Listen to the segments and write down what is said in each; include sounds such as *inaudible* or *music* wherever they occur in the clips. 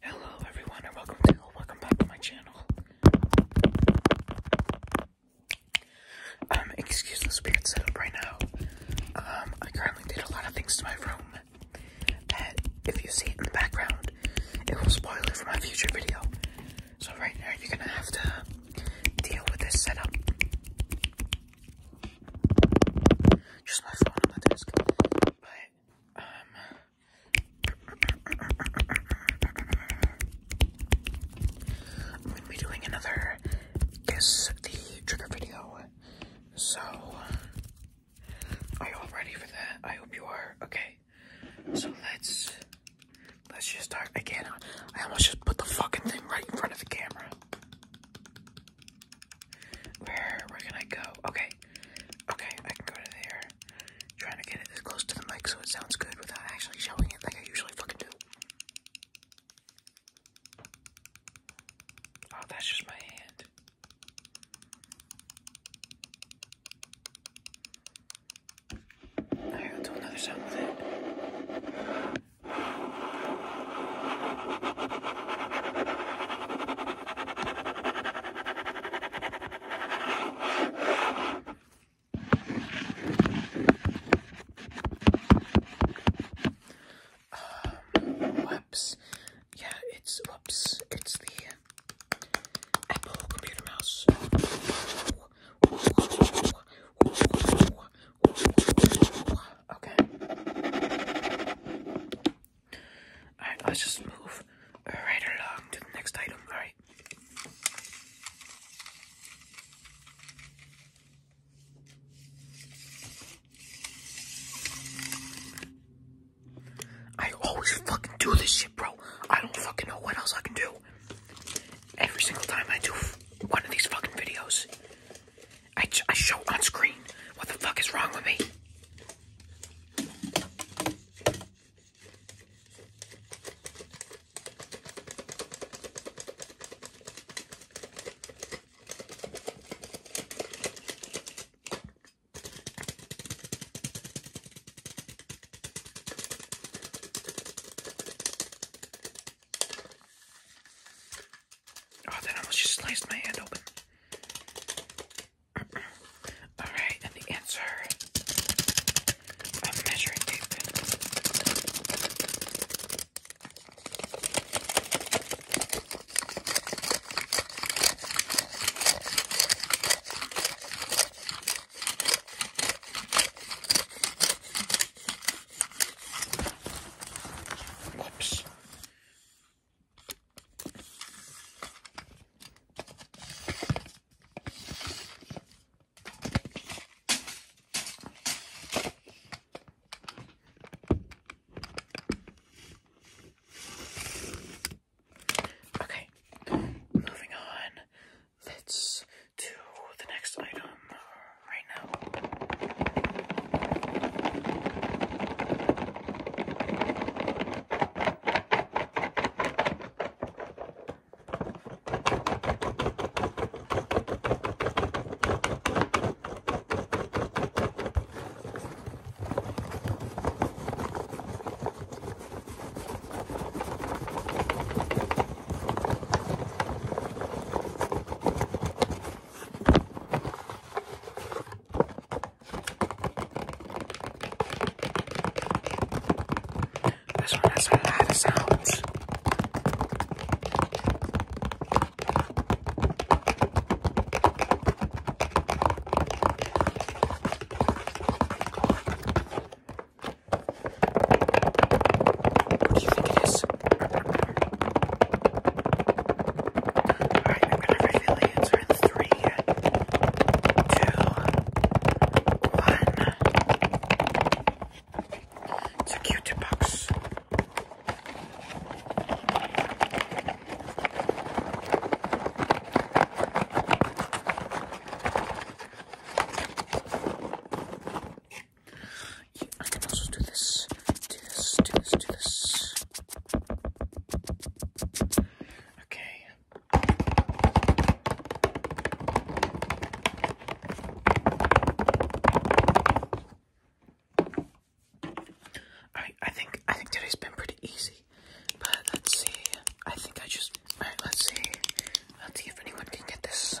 Hello everyone and welcome to welcome back to my channel. Um, excuse the weird setup right now. Um, I currently did a lot of things to my room that if you see it in the background, it will spoil it for my future video. So right now you're gonna have to deal with this setup. Just my phone on the desk. But, um. I'm gonna be doing another guess the trigger video. So, are you all ready for that? I hope you are. Okay. So let's let's just start again. I almost just put the fucking thing right in front of the camera. Where where can I go? Okay. Okay, I can go to there. am trying to get it as close to the mic so it sounds good without actually showing it like I usually fucking do. Oh, that's just my hand. Alright, I'll do another sound with it. Um, *sighs* whoops. Yeah, it's whoops. It's the Apple computer mouse. Ooh, ooh, ooh, ooh, ooh, ooh, ooh, Okay. Alright, let's just move right along to the next item. Alright. I always fucking do this shit, bro. I don't fucking know what else I can do every single time I do one of these fucking videos, I, I show on screen what the fuck is wrong with me. Oh, then I almost just sliced my hand open. *clears throat* Alright, and the answer Oops. Okay, moving on let's do the next item right now. This one has a lot of sounds. What do you think it is? Alright, I'm gonna reveal the answer in three, two, one. It's a cute box. I can also do this, do this, do this, do this. Okay. Alright, I think I think today's been pretty easy. But let's see. I think I just. Alright, let's see. Let's see if anyone can get this.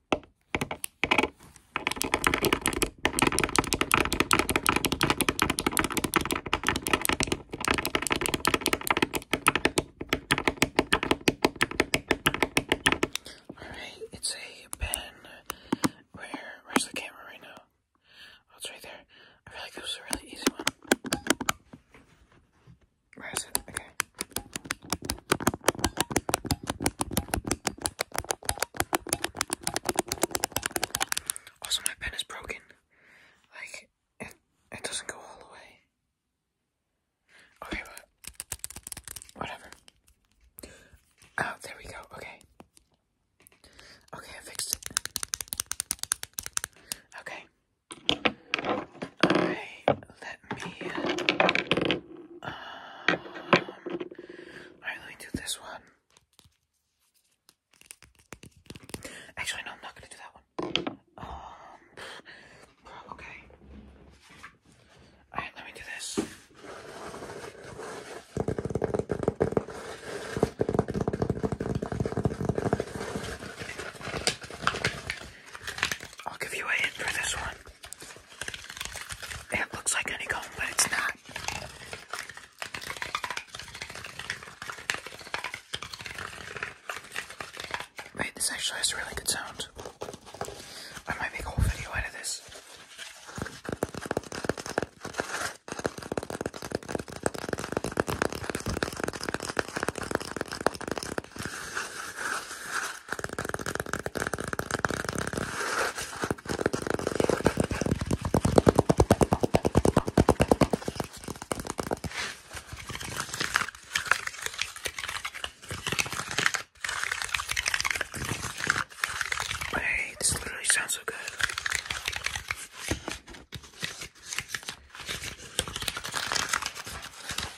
Alright, it's a pen. Where? Where's the camera right now? Oh, it's right there. I feel like this was a really easy one. Where is it? Okay. Also, my pen is broken. Like, it, it doesn't go all the way. Okay, whatever. Oh, there we go. Okay. Okay, I fixed it. Okay. Alright, let me. Um, Alright, let do this one. Actually, no, I'm not gonna do that one. Um, okay. Alright, let me do this. I'll give you a hint for this one. It looks like honeycomb, but it's not. Wait, this actually has really good sound. I might make a whole video out of this. Hey, this literally sounds so good.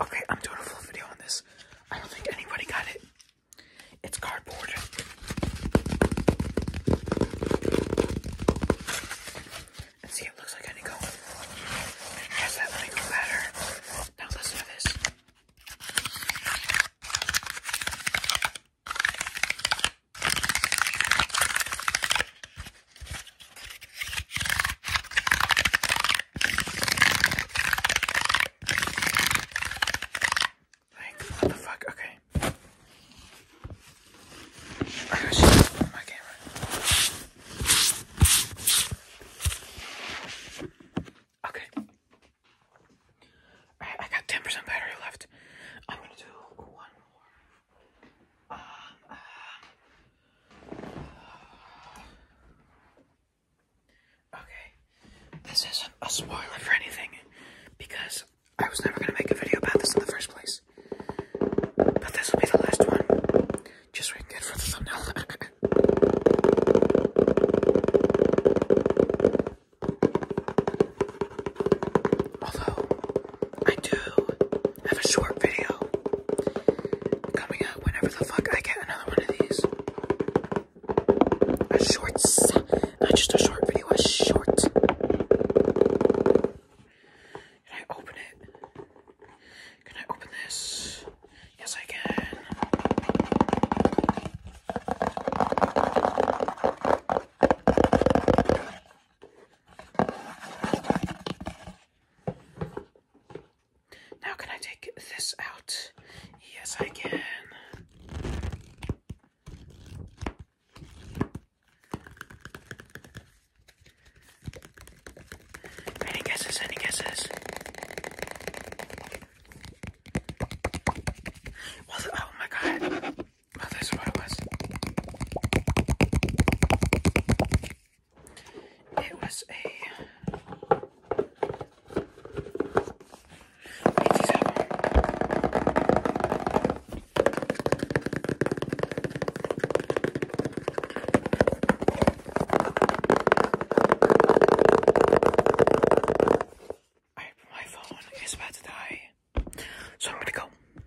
Okay, I'm doing a full video on this. I don't think anybody got it. It's cardboard. And see, it looks like any go. Has that let better. Now listen to this. Like, what the fuck? Okay. I got my camera. Okay. I got 10% battery left. I'm gonna do one more. Uh, uh, Okay, this isn't a spoiler for anything because I was never going to make a video about this in the first place. But this will be the last one, just so for the thumbnail. *laughs* Although I do have a short video coming out whenever the fuck I get another one of these. A short, not just a short video, a short. Can I open it? Can I open this? Yes, I can. Now, can I take this out? Yes, I can. Any guesses? Any guesses? Well, oh my god. Well, that's what it was. It was a. I, my phone is about to die, so I'm gonna go.